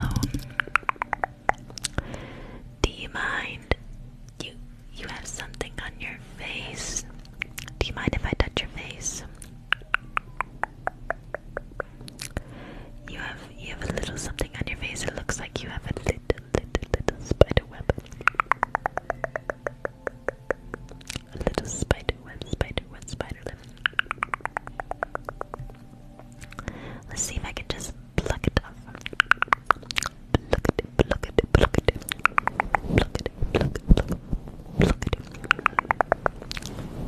Do you mind? You you have something on your face. Do you mind if I touch your face? You have you have a little something on your face. It looks like you have a little little little spider web. A little spider web, spider web, spider web. Let's see if I can just pluck it up. Pluck it, pluck it, pluck it. Pluck it, pluck it, pluck Pluck it.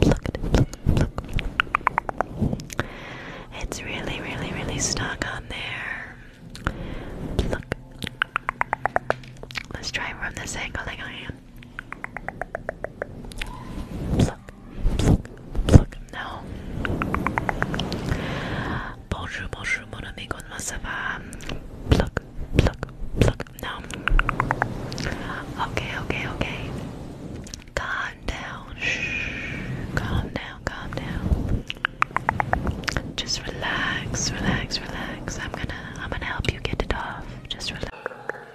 Pluck it, pluck, pluck. It's really, really, really stuck on there. Pluck. Let's try from this angle. Hang on, Pluck, pluck, pluck. No. Bonjour, bonjour, mon ami. Comment ça va? Pluck, Okay, okay, okay. Calm down. Shh. Calm down, calm down. Just relax, relax, relax. I'm gonna, I'm gonna help you get it off. Just relax.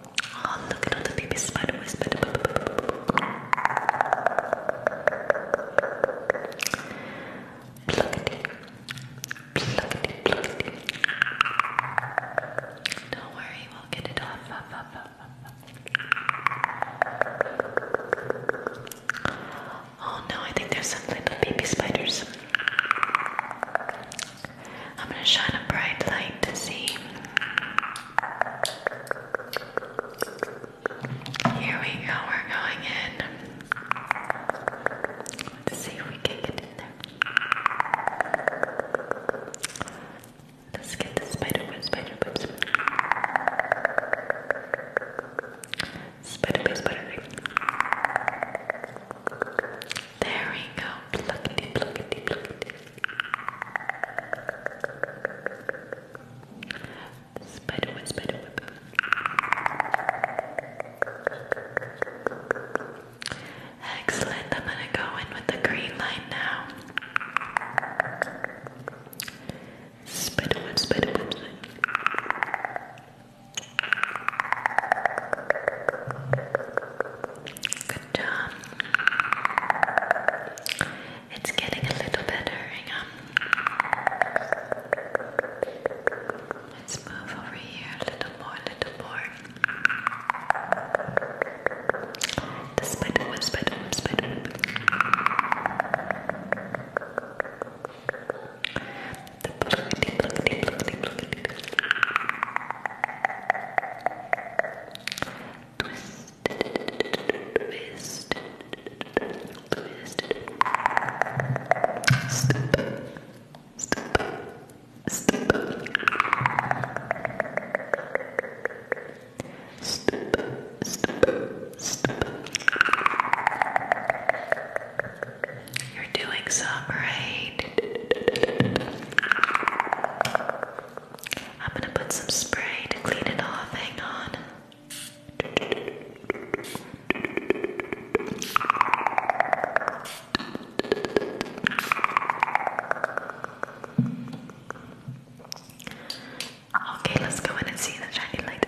Oh, look at all the baby spider Don't worry, we'll get it off. Oh no, I think there's some little baby spiders. I'm gonna shine a bright light to see. Here we go, we're going in. Let's see if we can get in there. Let's get the spider web, spider webs. Spider web, spider web. There we go. Spider whip, spider whip. Excellent. I'm gonna go in with the green line now. Spider whip, spider whip. It's getting a little better. Let's move over here a little more, a little more. The spider web, spider web, spider web. The pluckety, pluckety, pluckety, Twisted, twisted, twisted. Step, step, step. Step, step, step. You're doing some right. I'm gonna put some spray to clean it off. Hang on. Okay, let's go in and see the shiny light.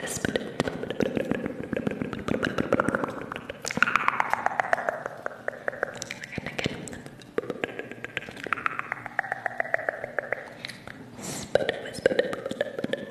This and again. Spit, spit, spit, spit.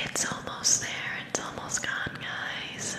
It's almost there. It's almost gone, guys.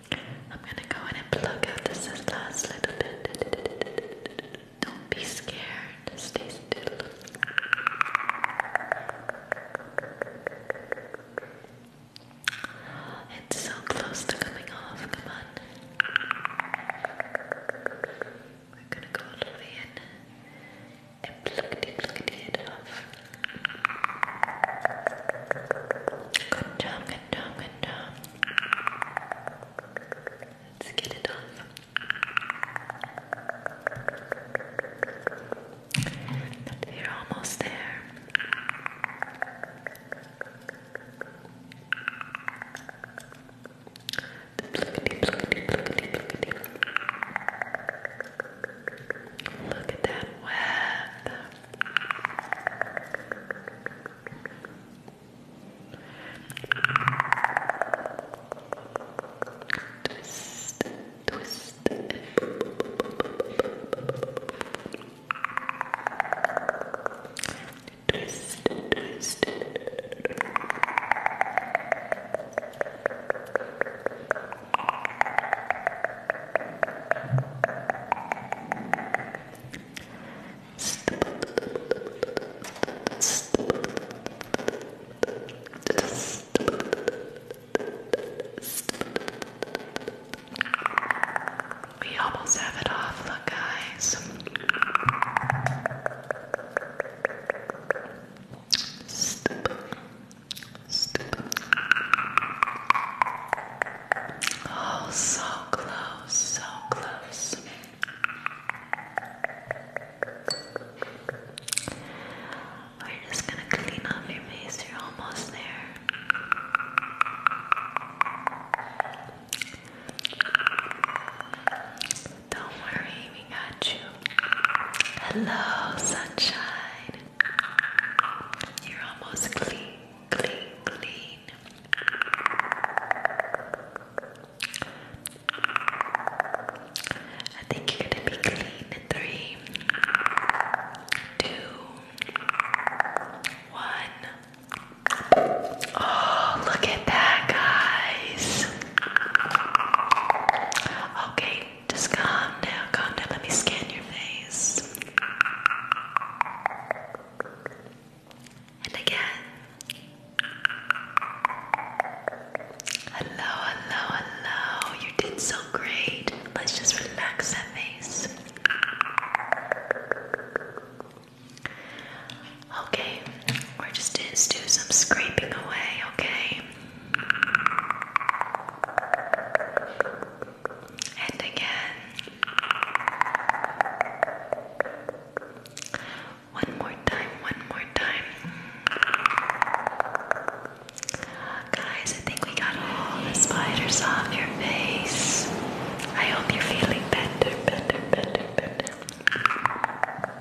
I'm gonna go in and plug out this last little bit. Don't be scared, stay still. It's so close to coming off, come on. We're gonna go all the way in and pluckety pluckety it off. Good job, good job, good job. Let's get it off. We're almost there. Look at that web. Twist, twist. Twist, twist. Twist, we almost have it off, look, guys. Stip, Oh, so close, so close. We're just gonna clean off your face, you're almost there. Don't worry, we got you. Hello, sunshine. You're almost clean, clean, clean. I think you're gonna be clean in three, two, one. Oh, look at that, guys. Okay, just calm down, calm down. Let me scan your face. And again. Hello, hello, hello. You did so great. Let's just relax that face. Okay, we're just do some scraping away, okay? And again. One more time, one more time. Guys, I think we got all the spiders off your face. I hope you're feeling better, better, better, better.